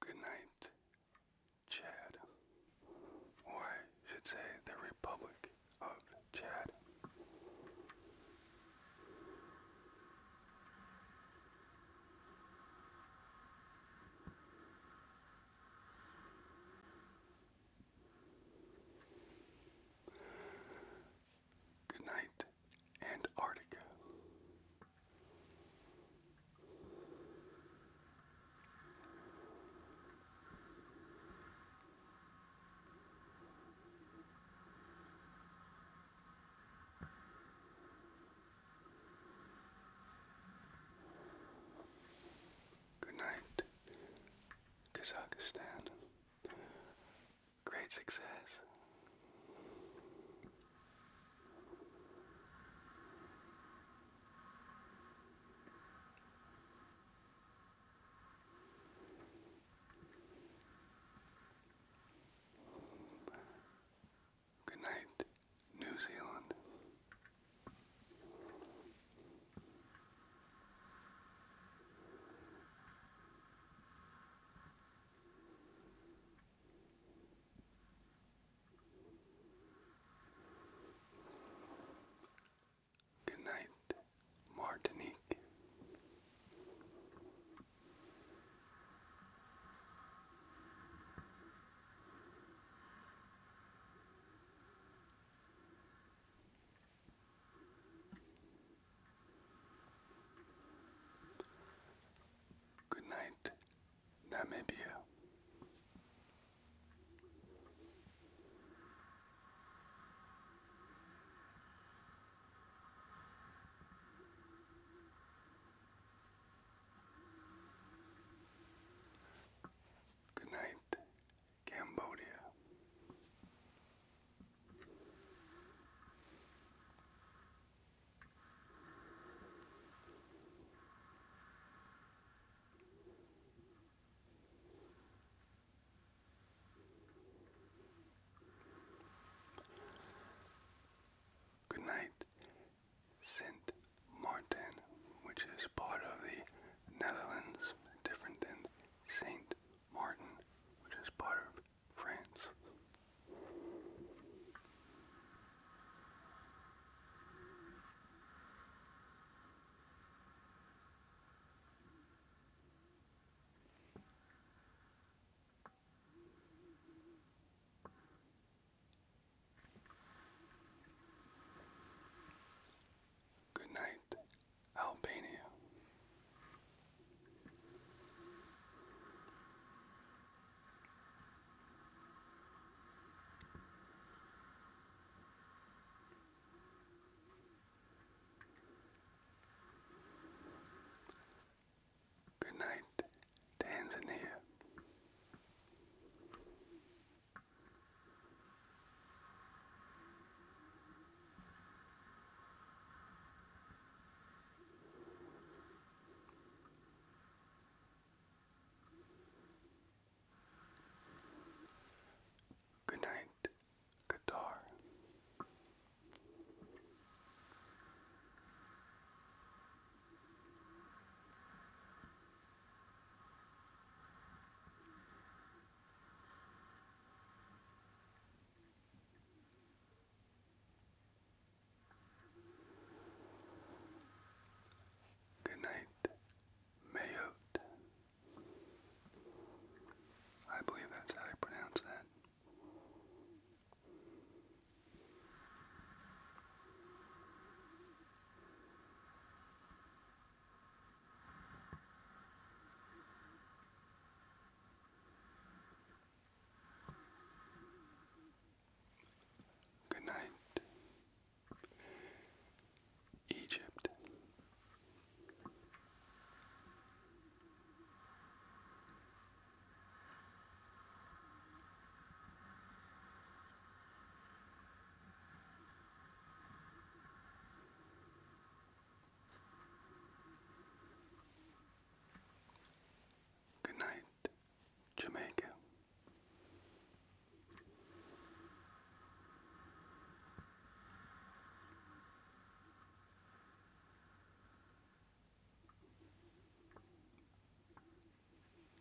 Good night, Chad, or I should say the Republic of Chad. Good night, Antarctica. Good night, Kazakhstan. Great success. Good night, New Zealand. Good night, Martinique. Good night, Namibia. Good night, Cambodia. Good night, sent Martin, which is part of the Netherlands, different than Saint Martin, which is part of France. Good night, Albania. Good night, Tanzania. Good night, guitar. Good night, Mayotte. I believe that's how you pronounce that. Good night, Egypt. Good night, Jamaica.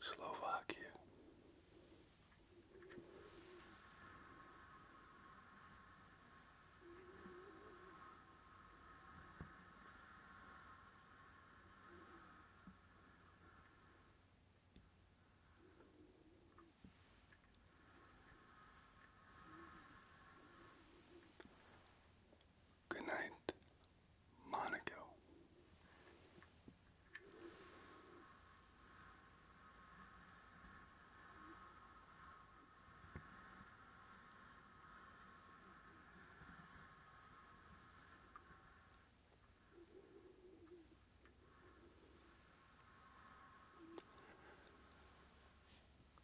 Slovakia. Good night, Monaco.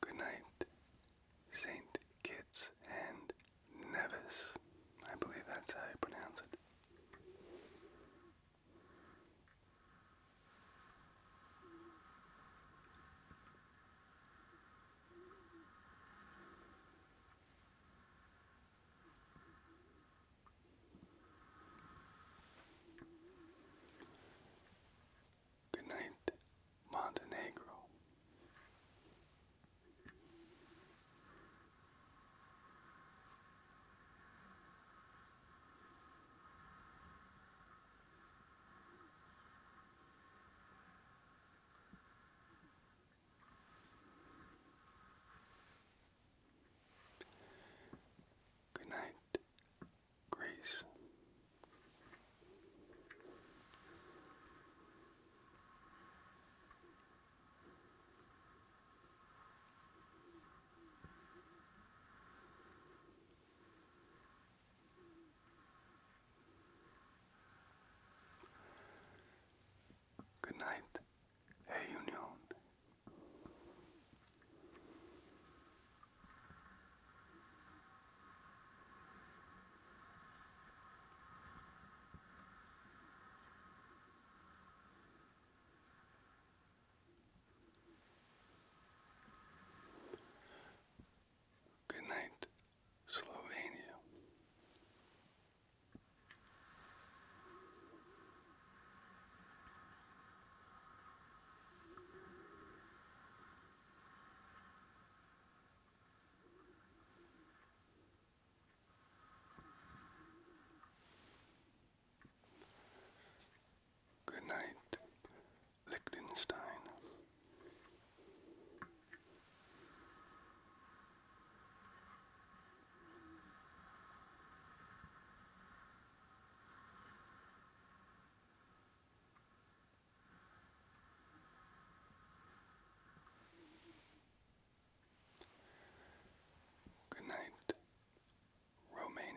Good night, Saint Kitts and Nevis. I believe that's how you pronounce it. Good night, Montenegro. Good night, Grace. Good night, Reunion. Good night, Slovenia. Good night, Liechtenstein. Good night, Romania.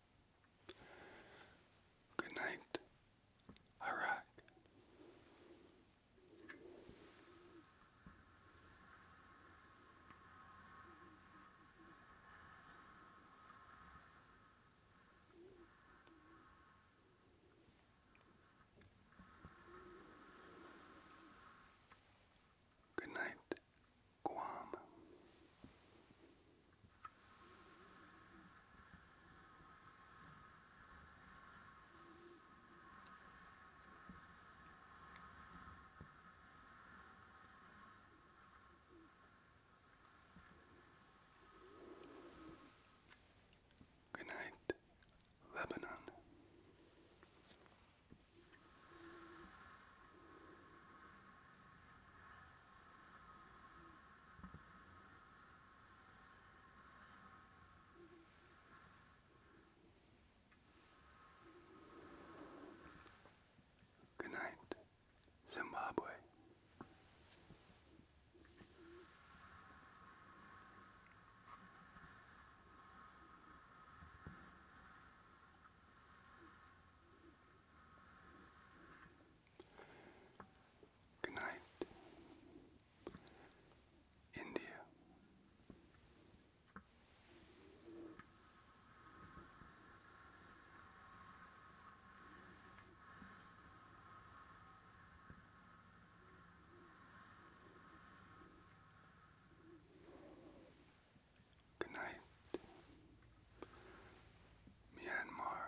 Good night, Iraq. Good night, Guam. Good night, Lebanon. Good night, Zimbabwe. Good night, India. Good night, Myanmar.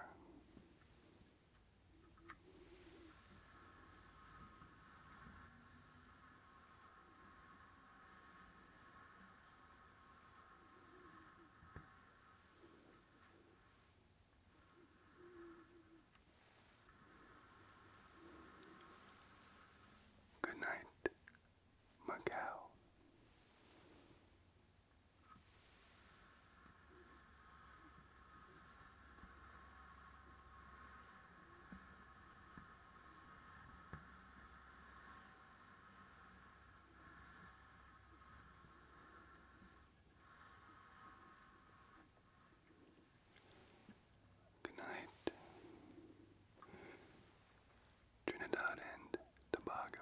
Good night, Macau. Good night, Trinidad and Tobago.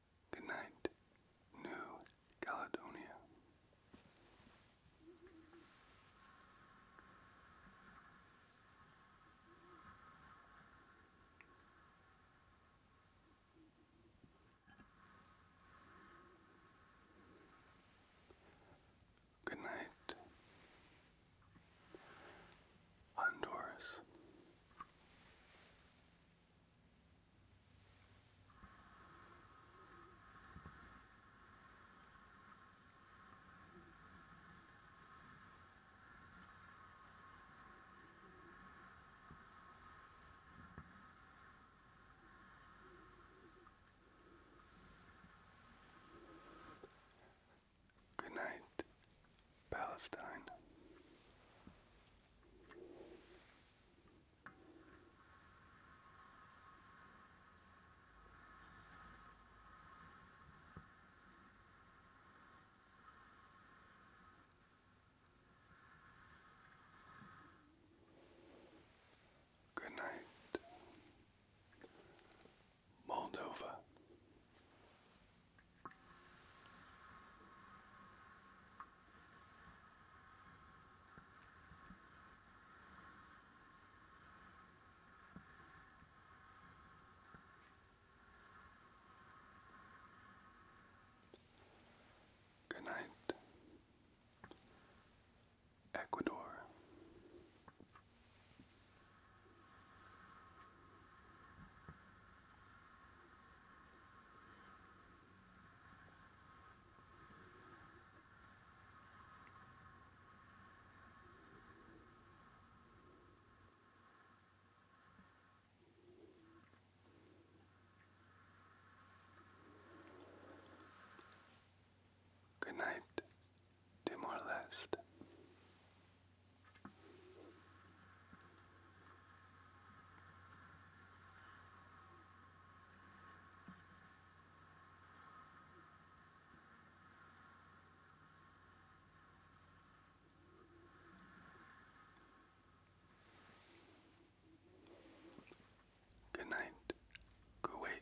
Good night, New Caledonia. Good night, Honduras. Good night, Palestine. Good night, Moldova. Good night, Ecuador. Good night, Timor Leste. Good night, Kuwait.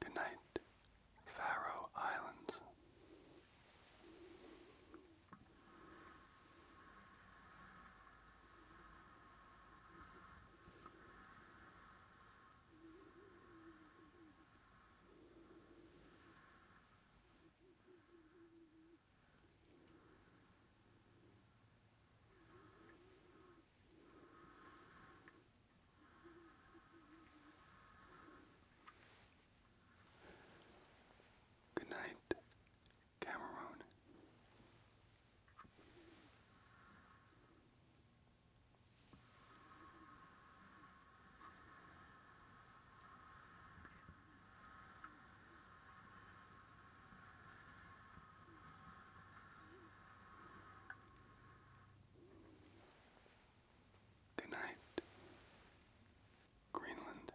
Good night, Faroe Islands. Good night, Cameroon. Good night, Greenland.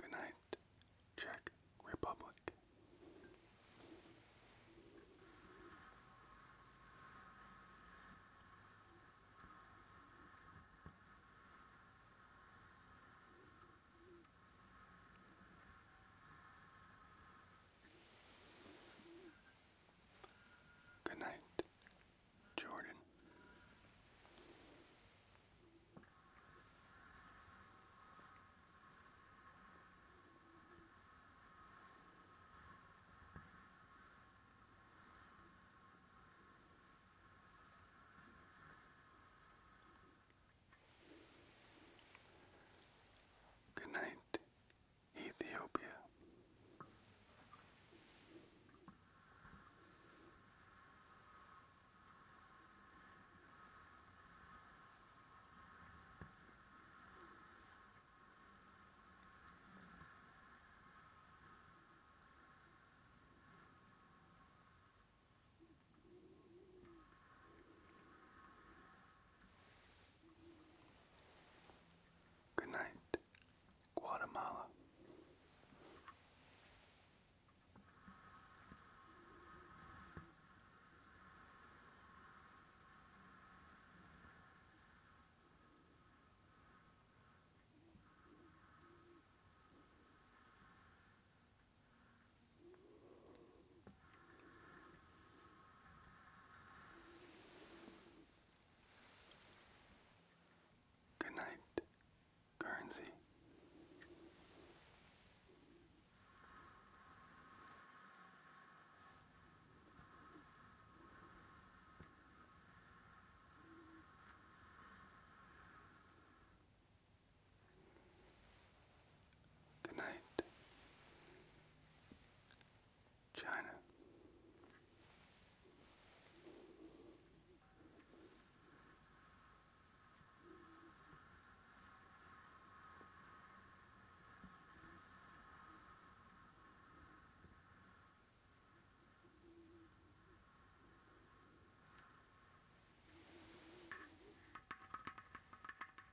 Good night, Czech Republic. Good night, Jordan. Good night, Ethiopia. Good night, Guatemala. Good night, Guernsey. Good night, China.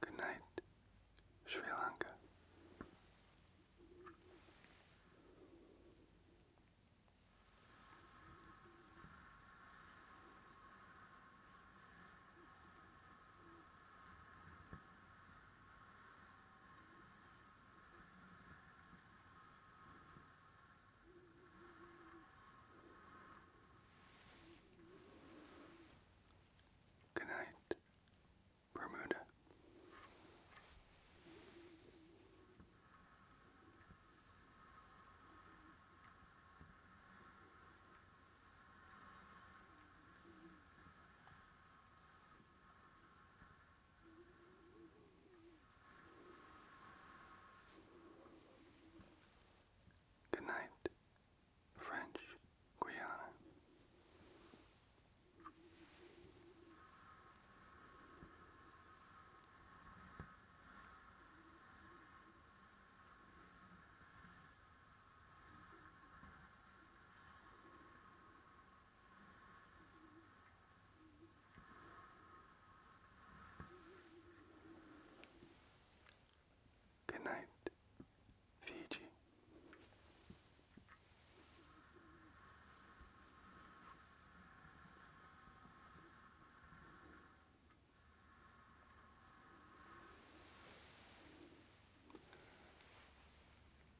Good night, Sri Lanka. Good night, Bermuda. Good night, French Guiana. Good night, Fiji.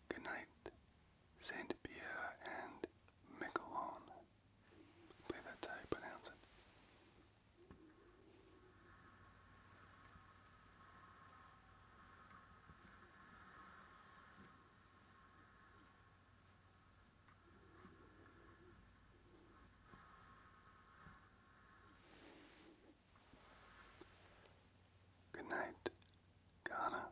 Good night, Saint Pierre and Miquelon. I believe how you pronounce it. Good night, Ghana.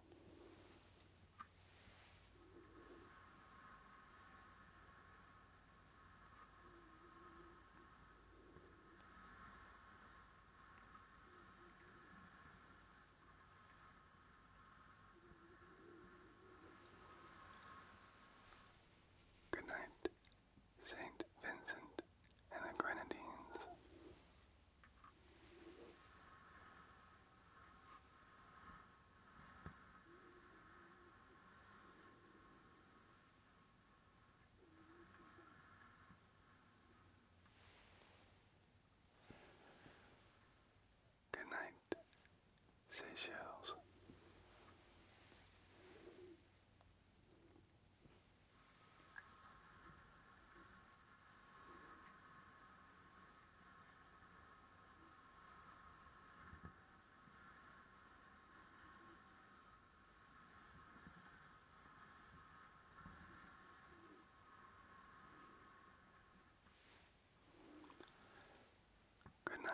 Good night, Saint Vincent and the Grenadines. Good Seychelles. Good night,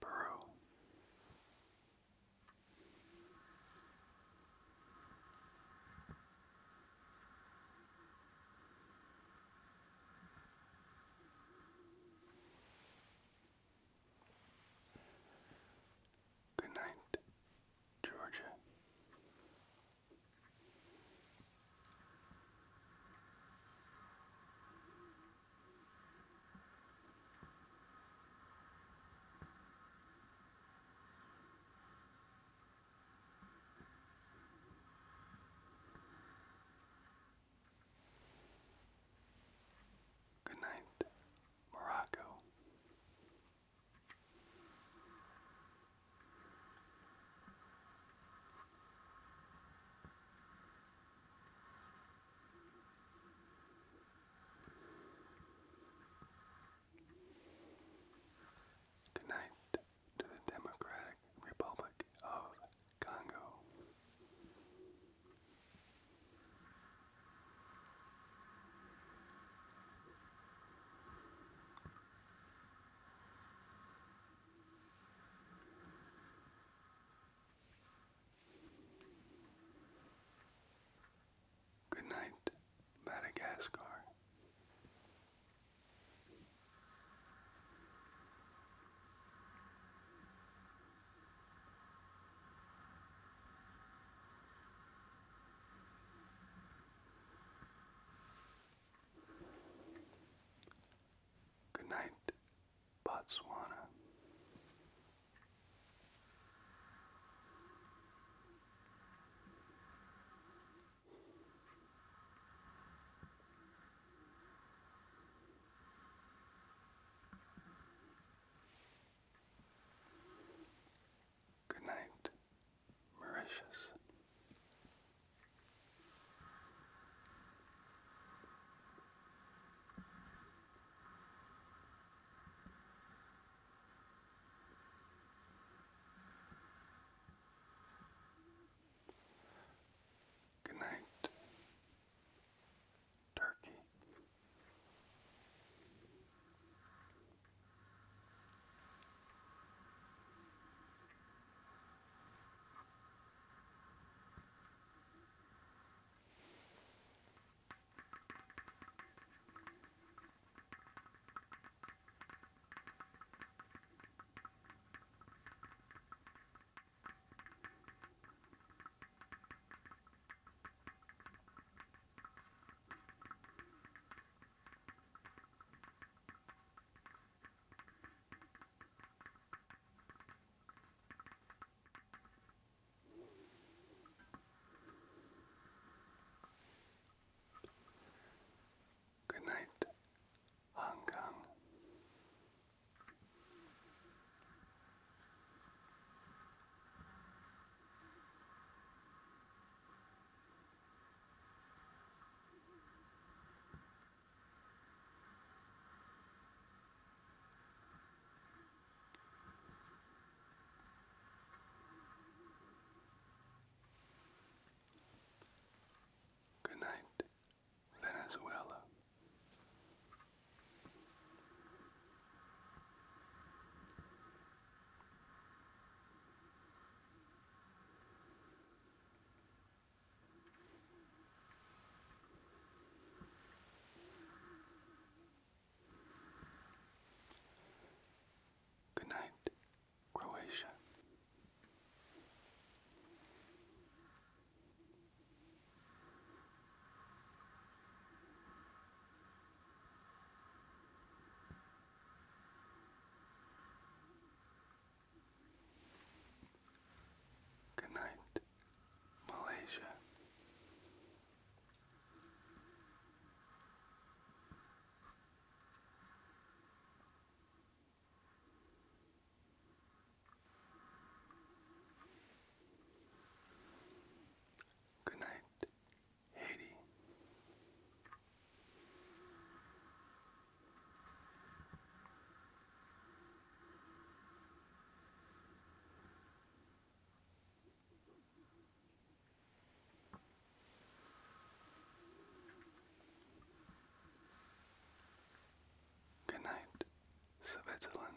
Burrow. Good night, Georgia. Good night, Morocco. Tonight to the Democratic Republic of Congo. Good night, Madagascar. Good night, Botswana. Good night, Mauritius. Good night, Turkey. Good night, Hong Kong. Good night, Venezuela. Good night, Croatia. Good night, Malaysia. Good night, Haiti. Good night, Switzerland.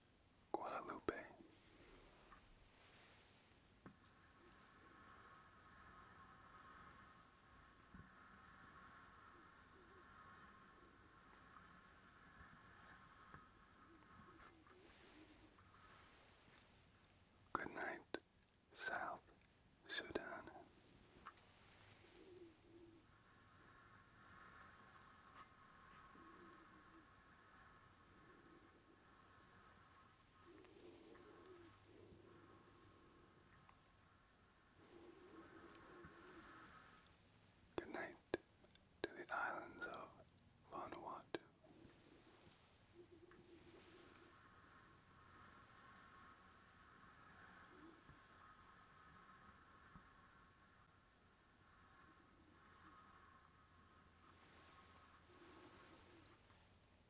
Guadalupe. Good night, South Sudan. Good night to the islands of Vanuatu.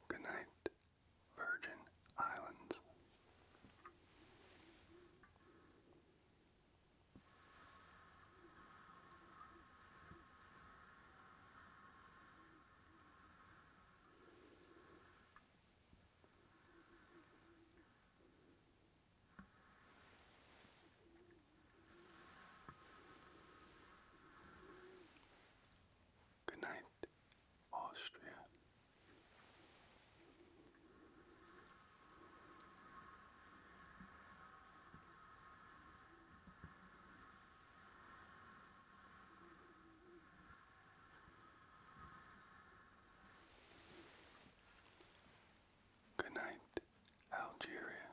Good night, Virgin Islands. Good night, Austria. Good night, Algeria.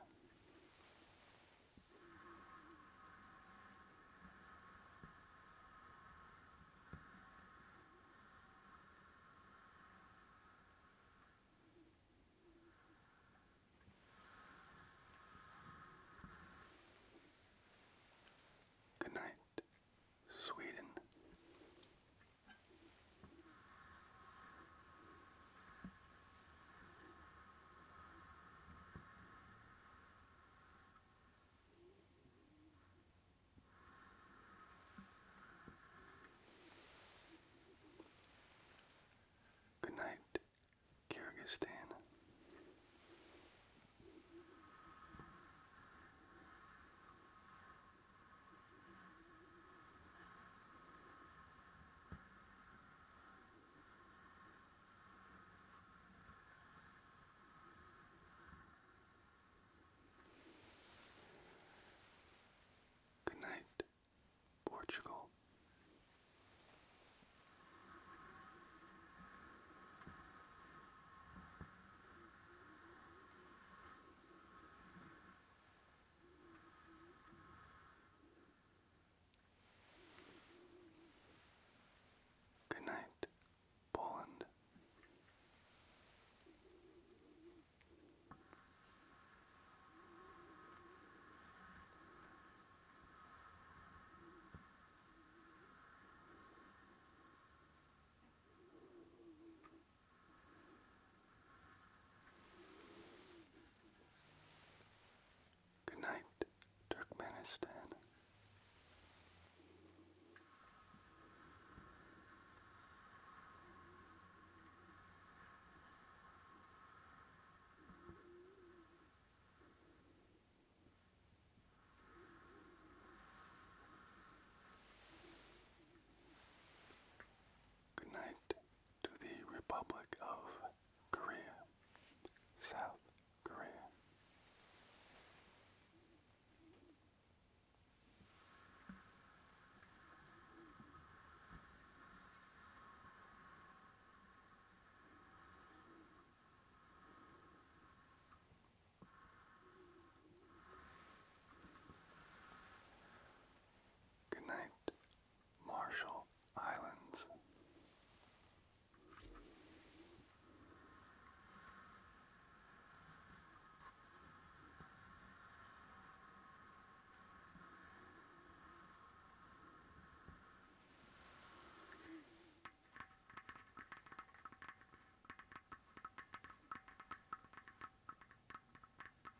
Good night, Sweden. Good night, Kyrgyzstan. Good night, Portugal. Good night, Poland. Good night, Turkmenistan. Good night, to the Republic of Korea, South Korea. Good night, Marshall Islands.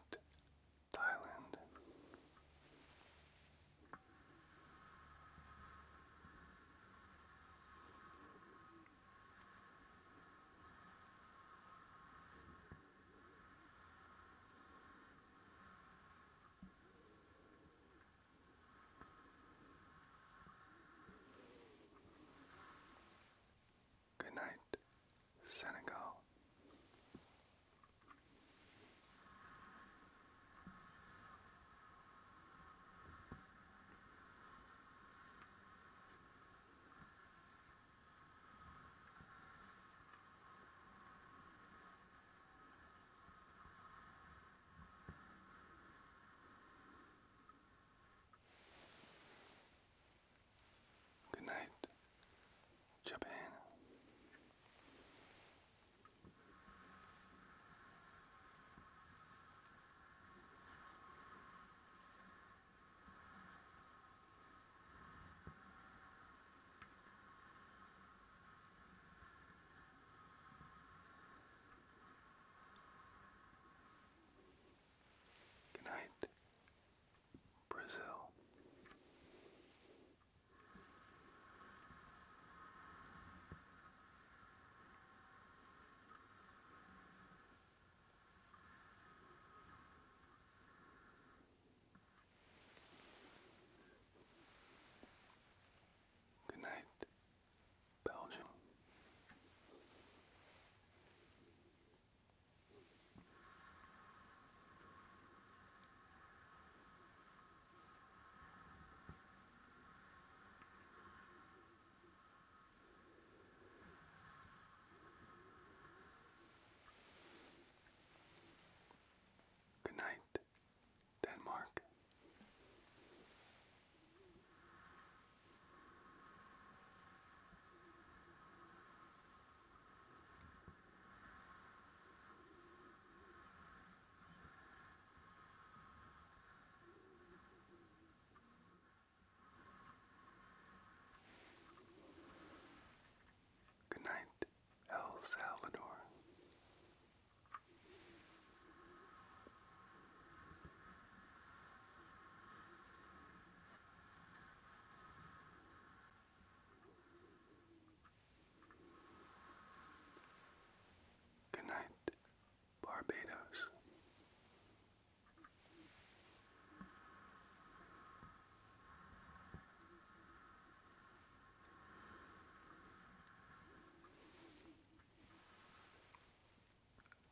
Thailand, Thailand. Good night, Senegal. Good night, Japan. Good night, Brazil. Good night, Belgium. Good night, Denmark. Good night, El Salvador. Good night, Barbados.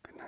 Good night,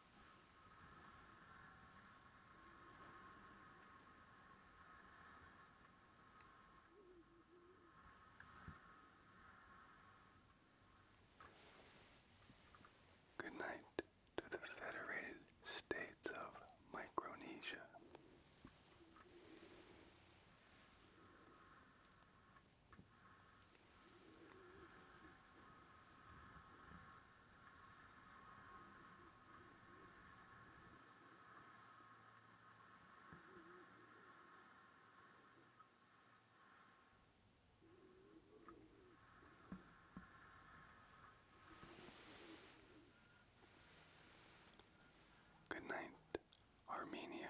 Good night to the Federated States of Micronesia. Good night, Armenia.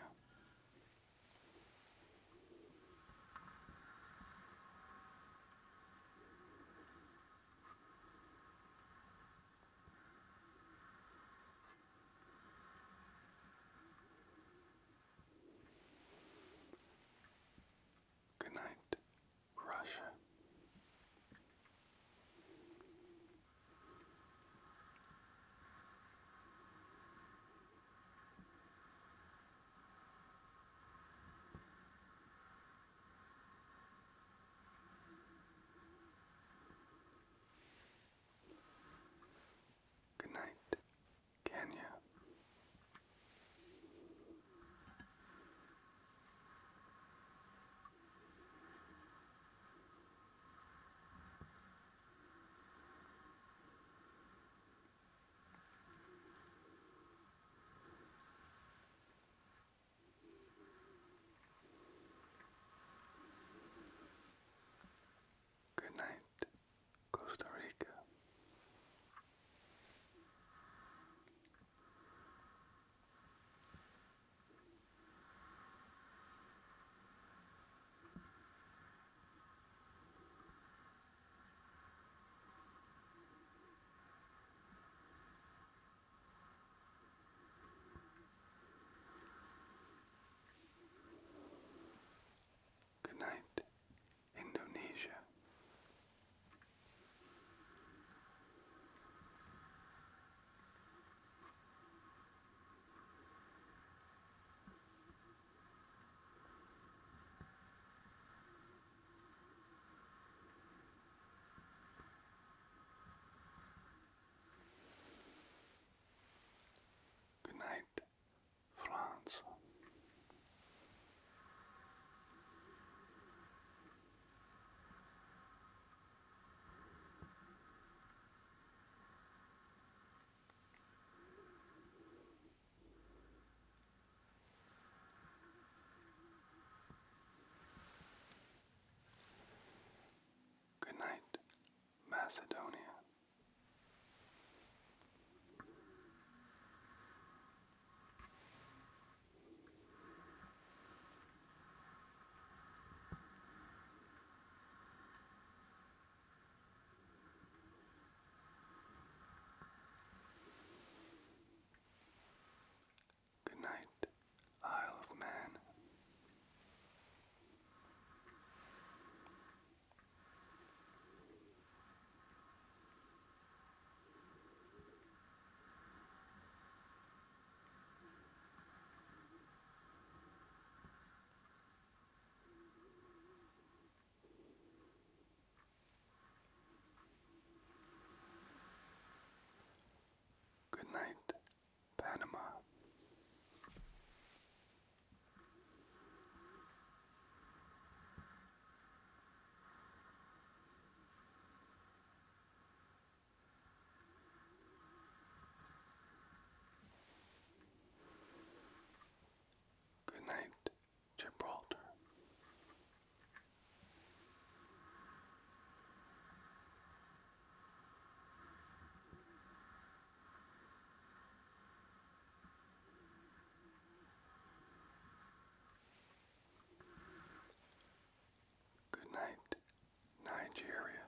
Good night, Russia. Good night, Kenya. Good night, Costa Rica. Good night, Indonesia. Good night, France. Good night, Macedonia. Good night, Isle of Man. Good night, Panama. Good night, Gibraltar. Good night, Nigeria.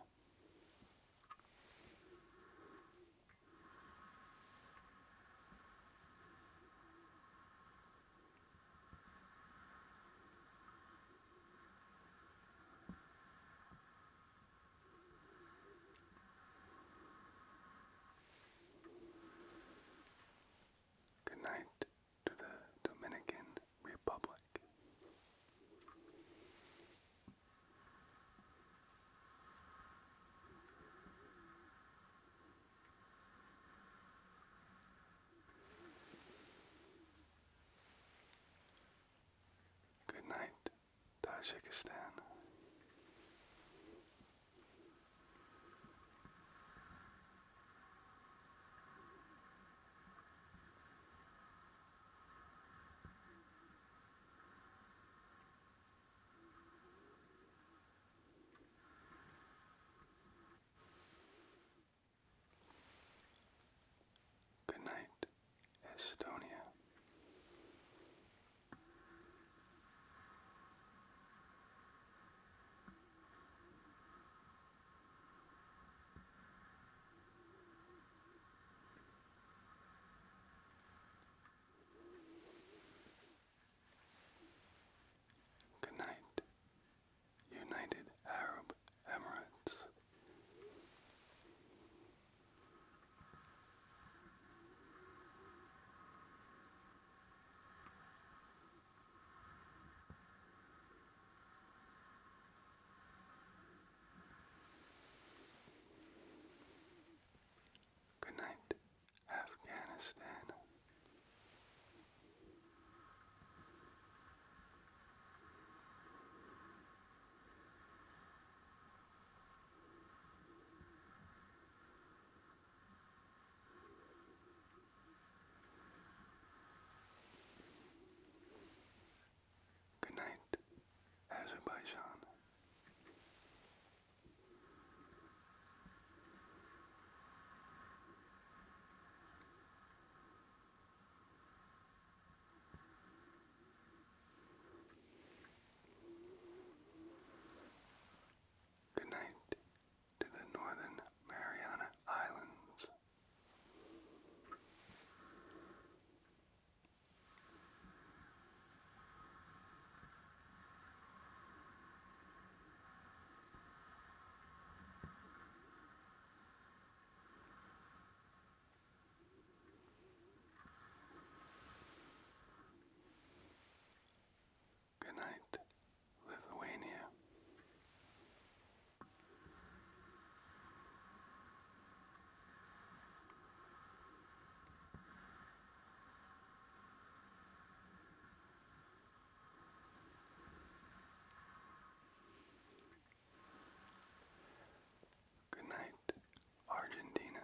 Good night to the Dominican Republic. Good night, Tajikistan. Good night, Estonia. Good night, United Arab Emirates. Good night, Afghanistan. Good night, Azerbaijan. Good night to the Northern Mariana Islands. Good night, Lithuania. Good night, Argentina.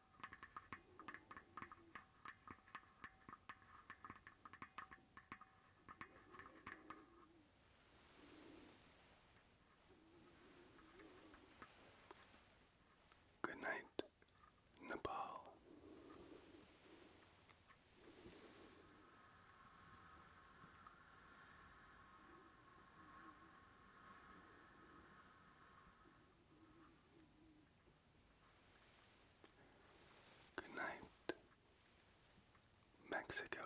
Good night, Nepal. Good night, Mexico.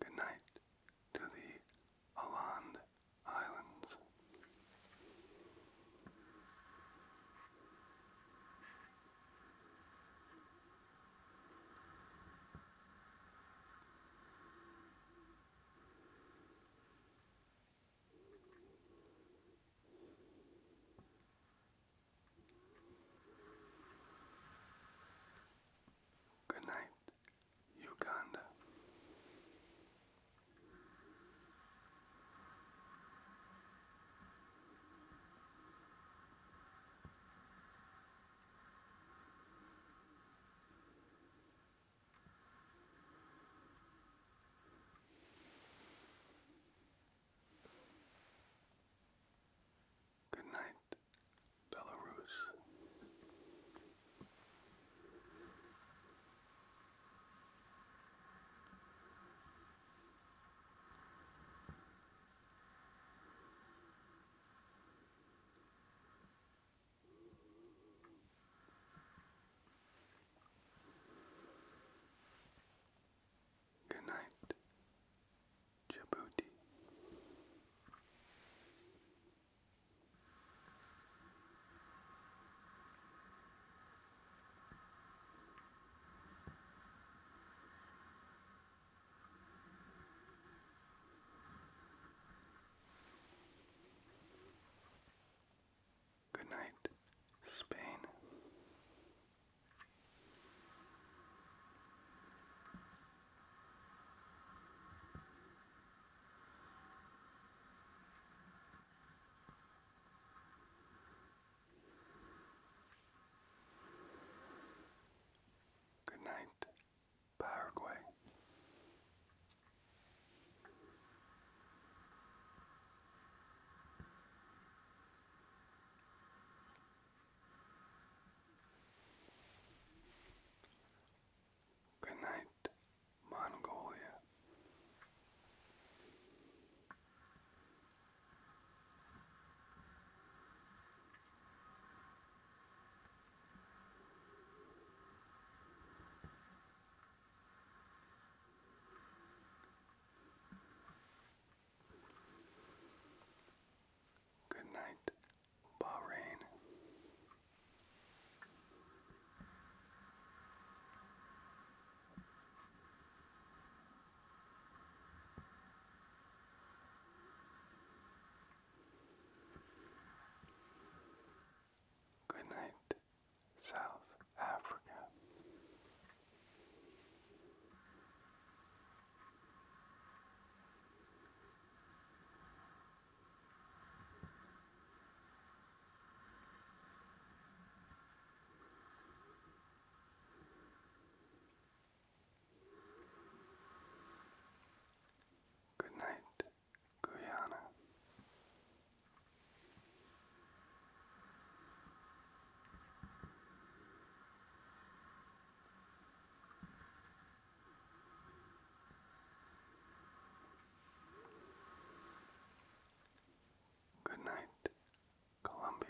Good night, to the Aland Islands. Good night, Uganda. Good night, Belarus. Good night. Djibouti. Good night, Spain. Good night, Paraguay. Good night, Mongolia. Good night, Bahrain. Good night, South Africa. Good night, Guyana. Good night, Columbia.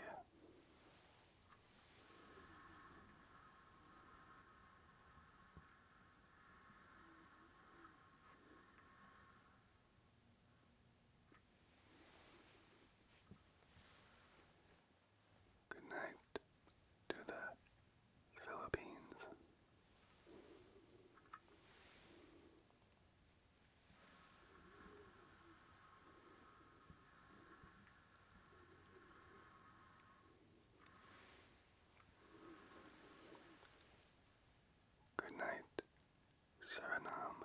Good night to the Philippines. Good night, Suriname.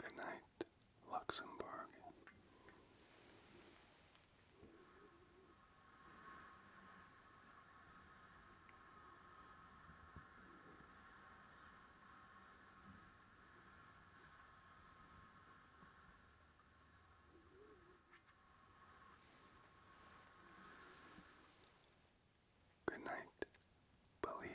Good night, Luxembourg. Good night, please.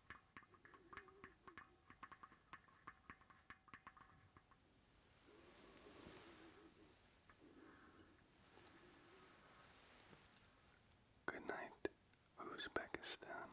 Good night, Uzbekistan.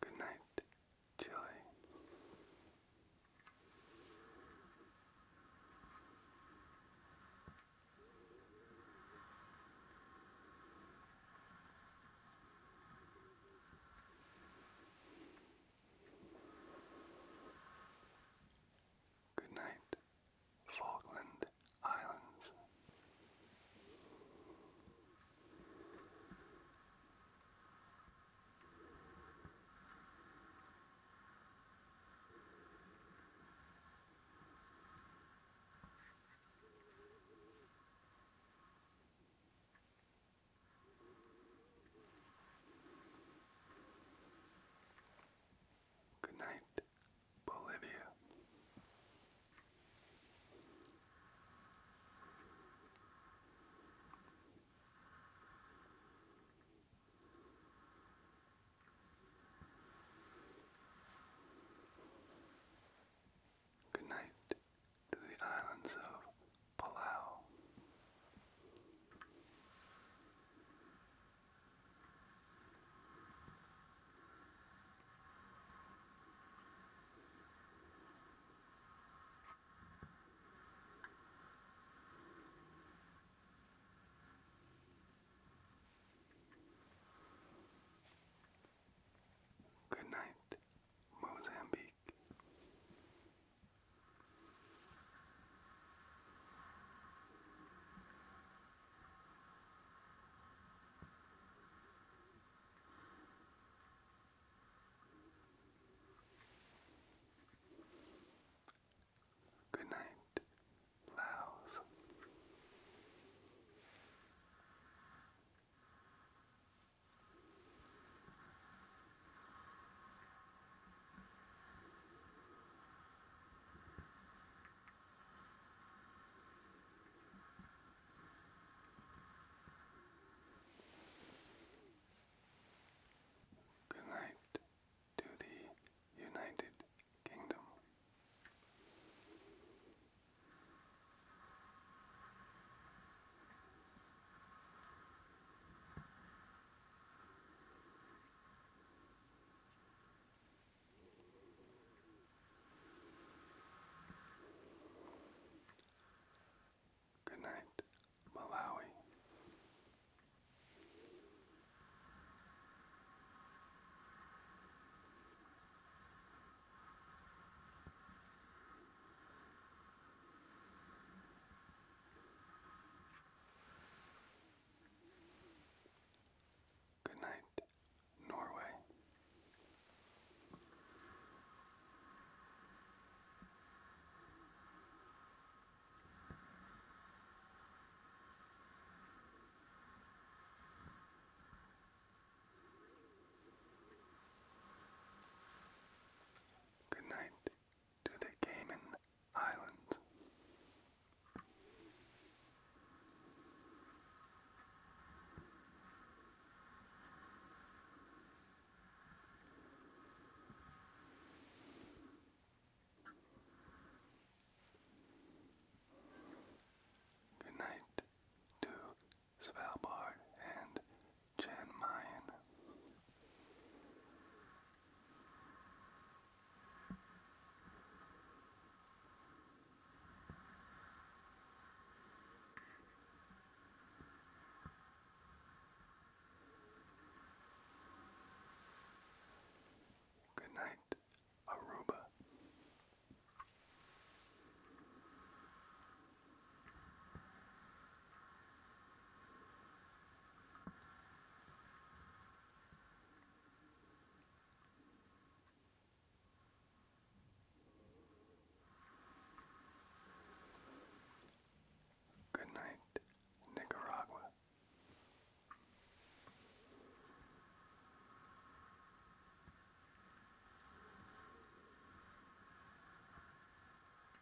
Good night, Joy. Good night, Falkland Islands. Good night, Bolivia. Good night, to the islands of Palau. Good night, Mozambique. Good night, Laos. Good night to the United Kingdom. Good night, Malawi. Good night, Norway. Good night to the Cayman Islands. Good night to Svalbard, and Jan Mayen. Good night, Aruba. Good night, Nicaragua.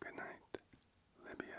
Good night, Libya.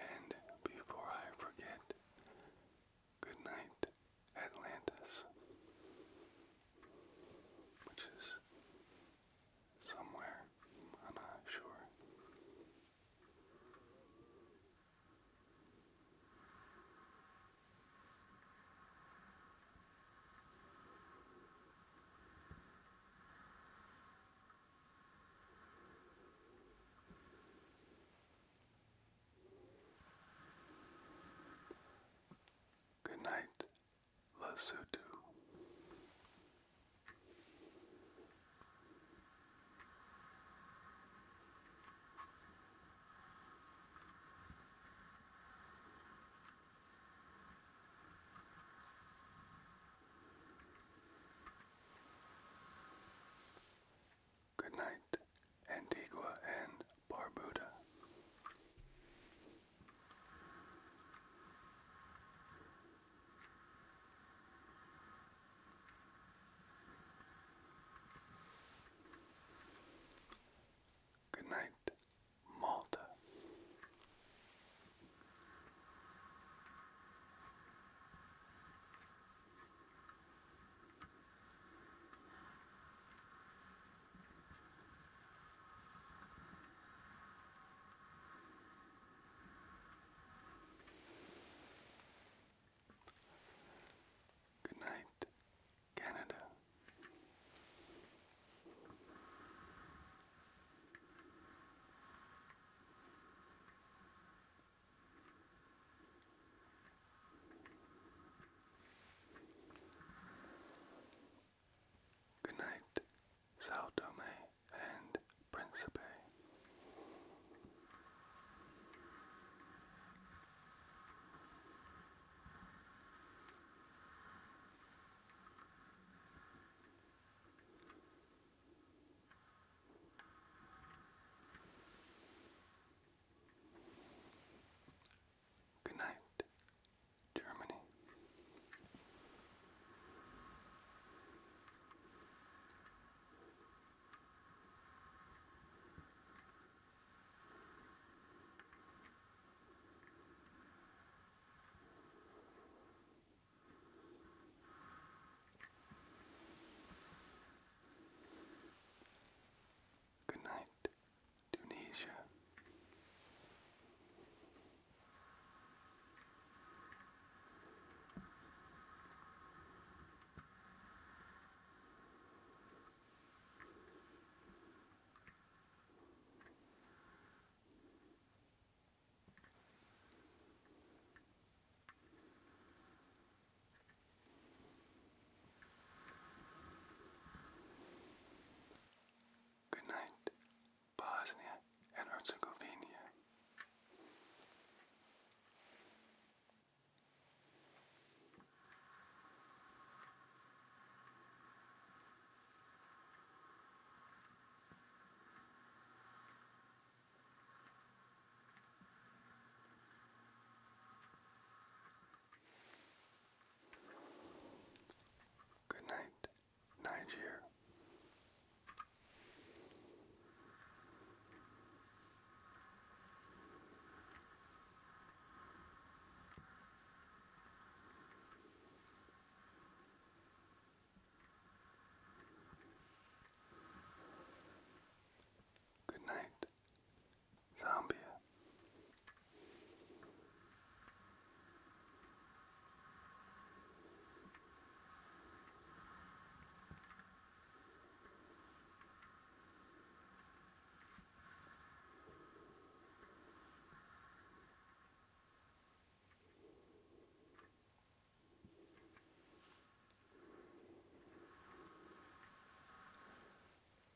And before I forget, good night, Atlantis, which is somewhere, I'm not sure. Good night, Lesotho. Good night, Antigua and Barbuda. Good night, Malta. Good night, Canada. Good night, Sao Tome and Principe. Good night, Germany. Good night, Tunisia. Good night, Bosnia and Herzegovina. Good night, Niger. Good night, Zambia.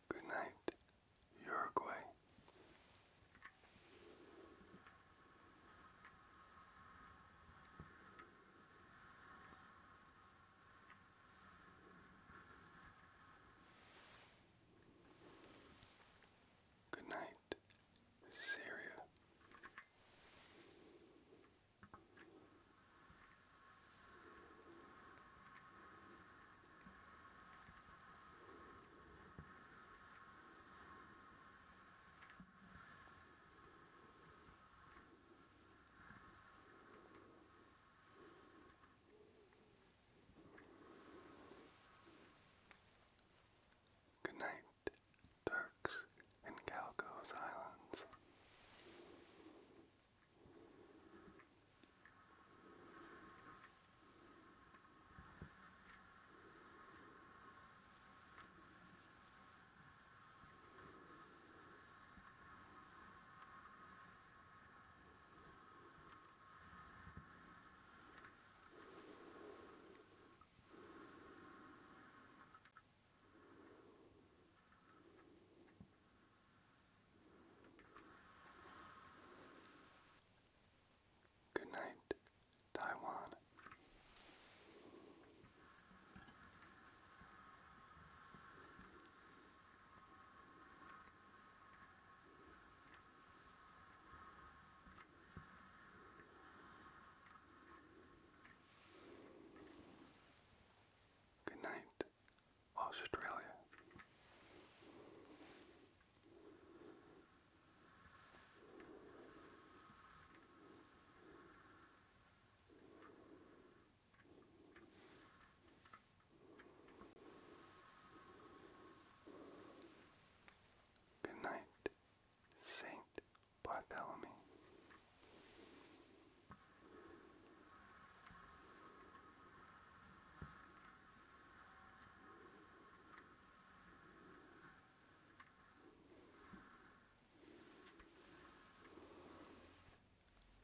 Good night, Uruguay. Good night, Syria. Good night, Turks and Caicos Islands. Good night, Taiwan. Good night, Australia. Good night, Saint Bartholomew.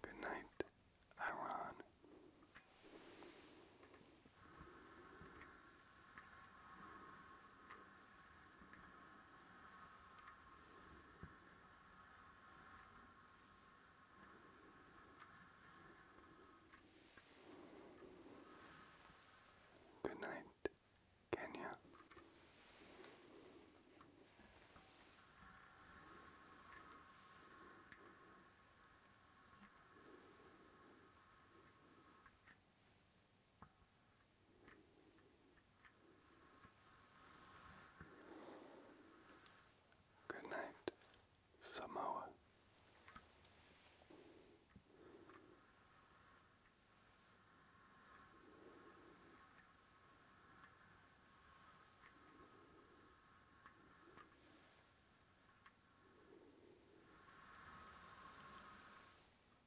Good night, Iran. Good night, Kenya. Good night, Samoa.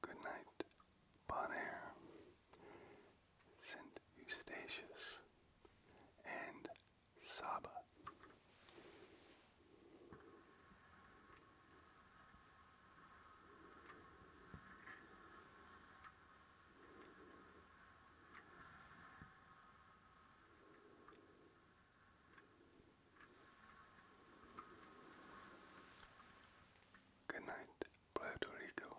Good night, Bon Air, St. Eustatius, and Saba. Good night, Puerto Rico.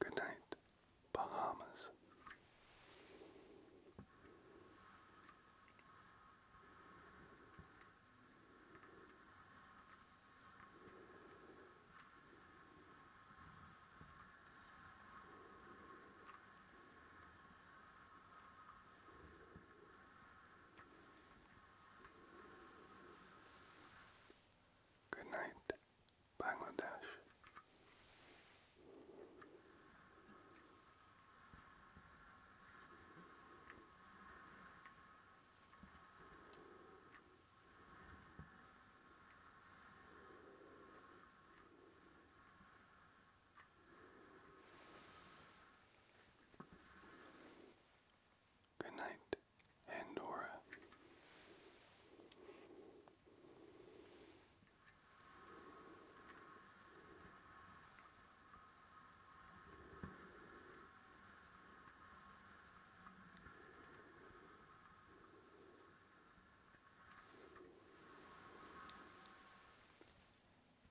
Good night, Bahamas. Good night, Bangladesh. Good night, Andorra.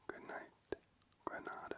Good night, Granada.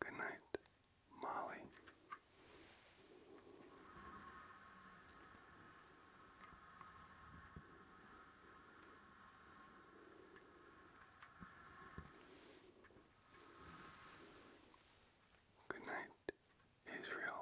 Good night, Molly. Good night, Israel.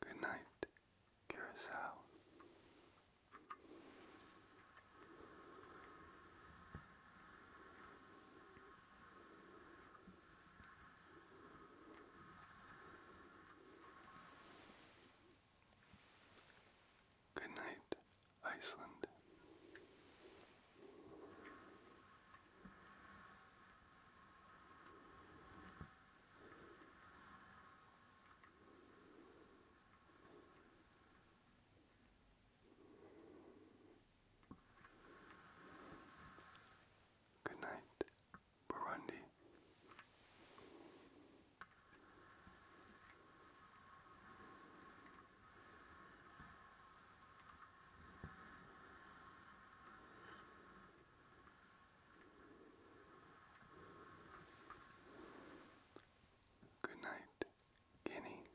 Good night. Curacao. Good night, Iceland. Good night, Burundi. Good night, Guinea.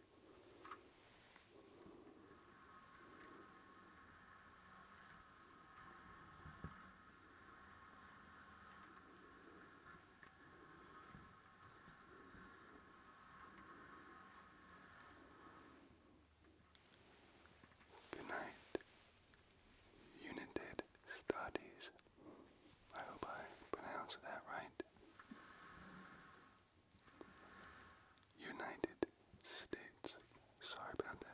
Good night, United Studies. I hope I pronounced that right. United States. Sorry about that.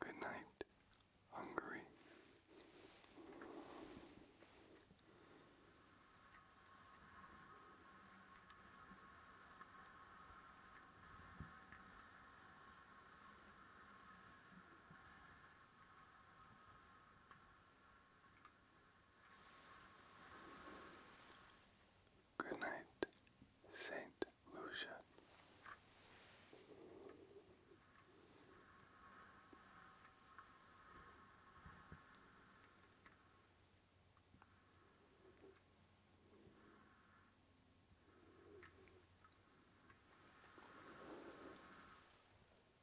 Good night, Hungary. Good night, Saint illusion.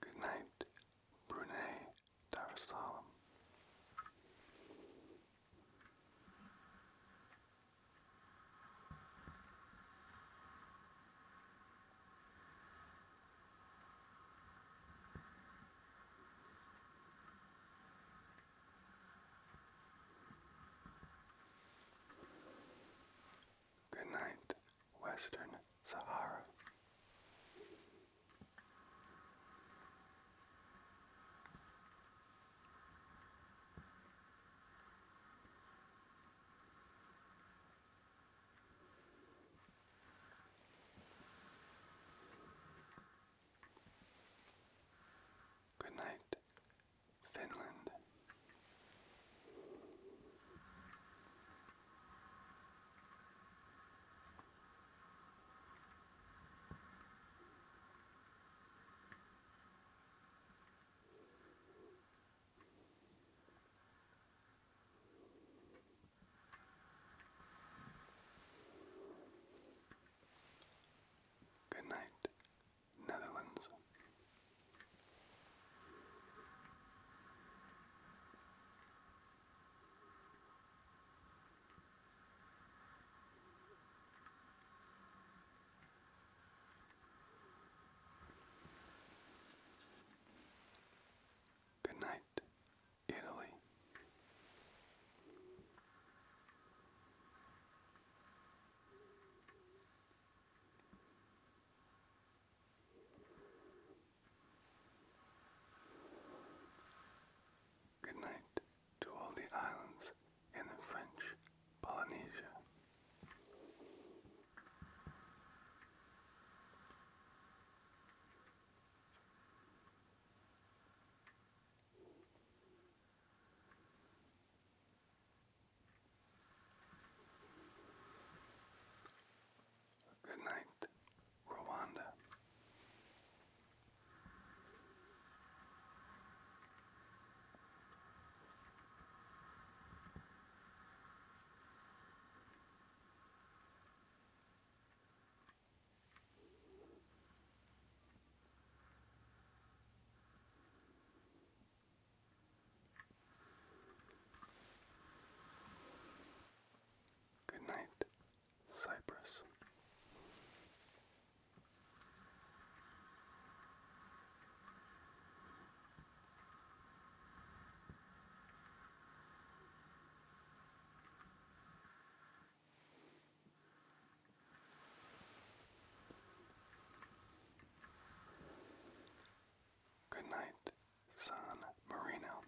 Good night, Brunei Darussalam. Good night, Western Sahara. Good night, Finland. Good night, Netherlands. Good night, Italy. Good night to all the islands in French Polynesia. Good night, Rwanda. Good night, Cyprus. Good night, San Marino.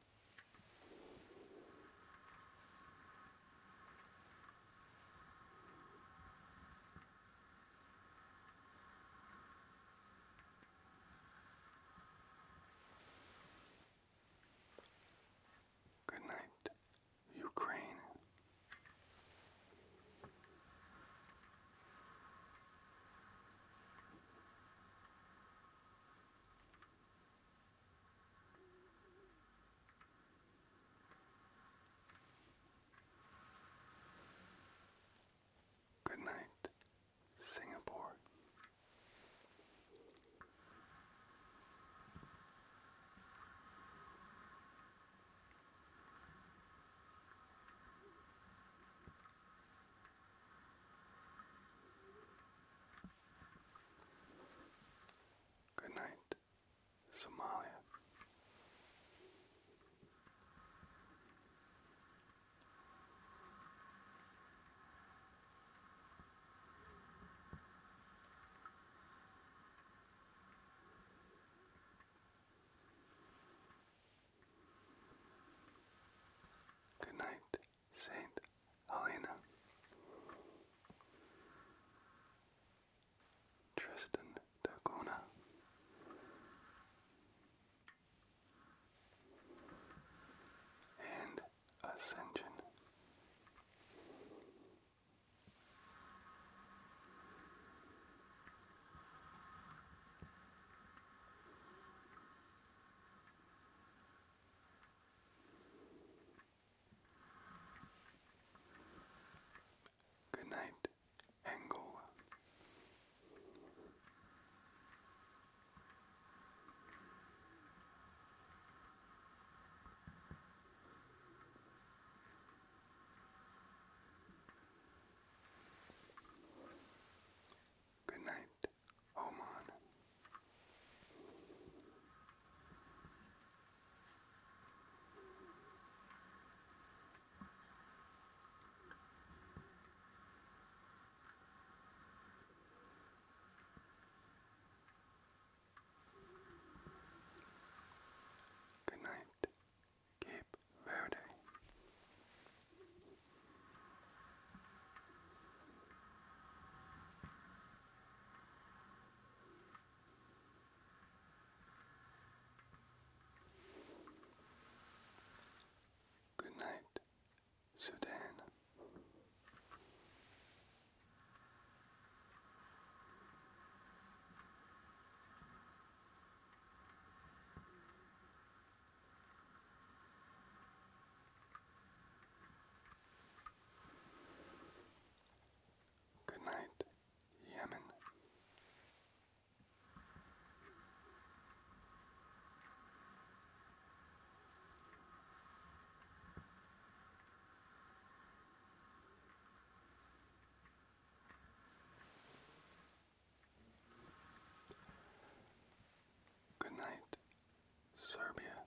Good night, Ukraine. Good night, Singapore. Good night, Somalia. Good night, Saint Helena. Tristan Dagona And Ascension. Good night, defeated Angola. Good night, Oman. Good night, Cape Verde. Good night, Sudan. Good night, Yemen. Good night, Serbia.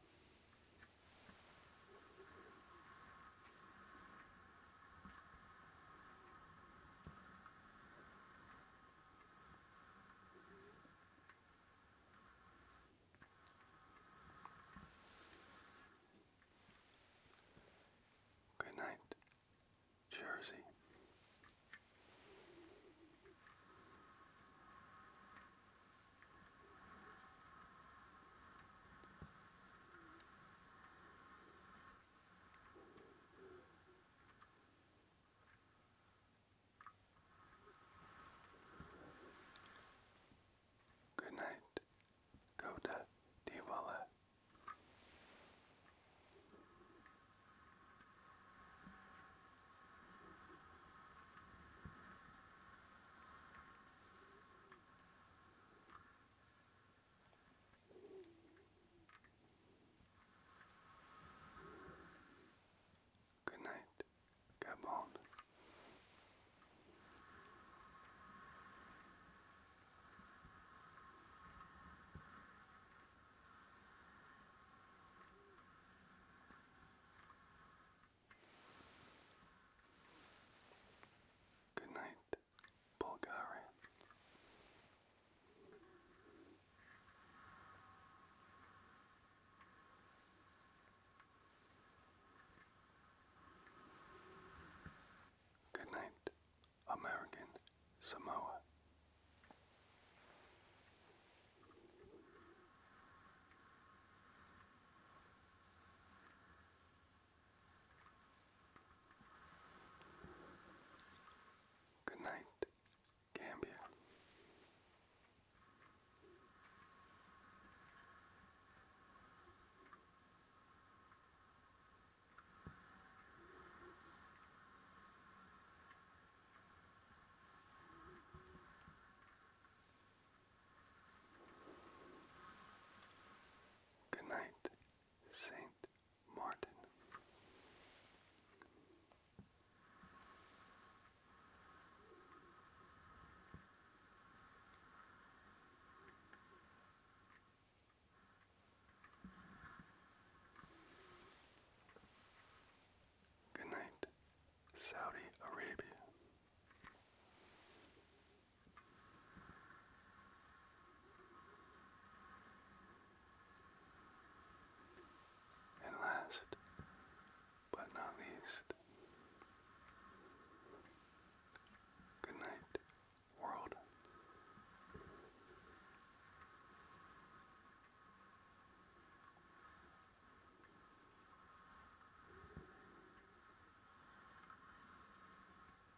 Good night, Jersey. Good night, Goda Diwala. Good night, Gabon. Good night, Bulgaria. Good night, American Samoa. Good night, Gambia. Good night, Saint Martin. Good night, Saudi Arabia. And last but not least, good night, world.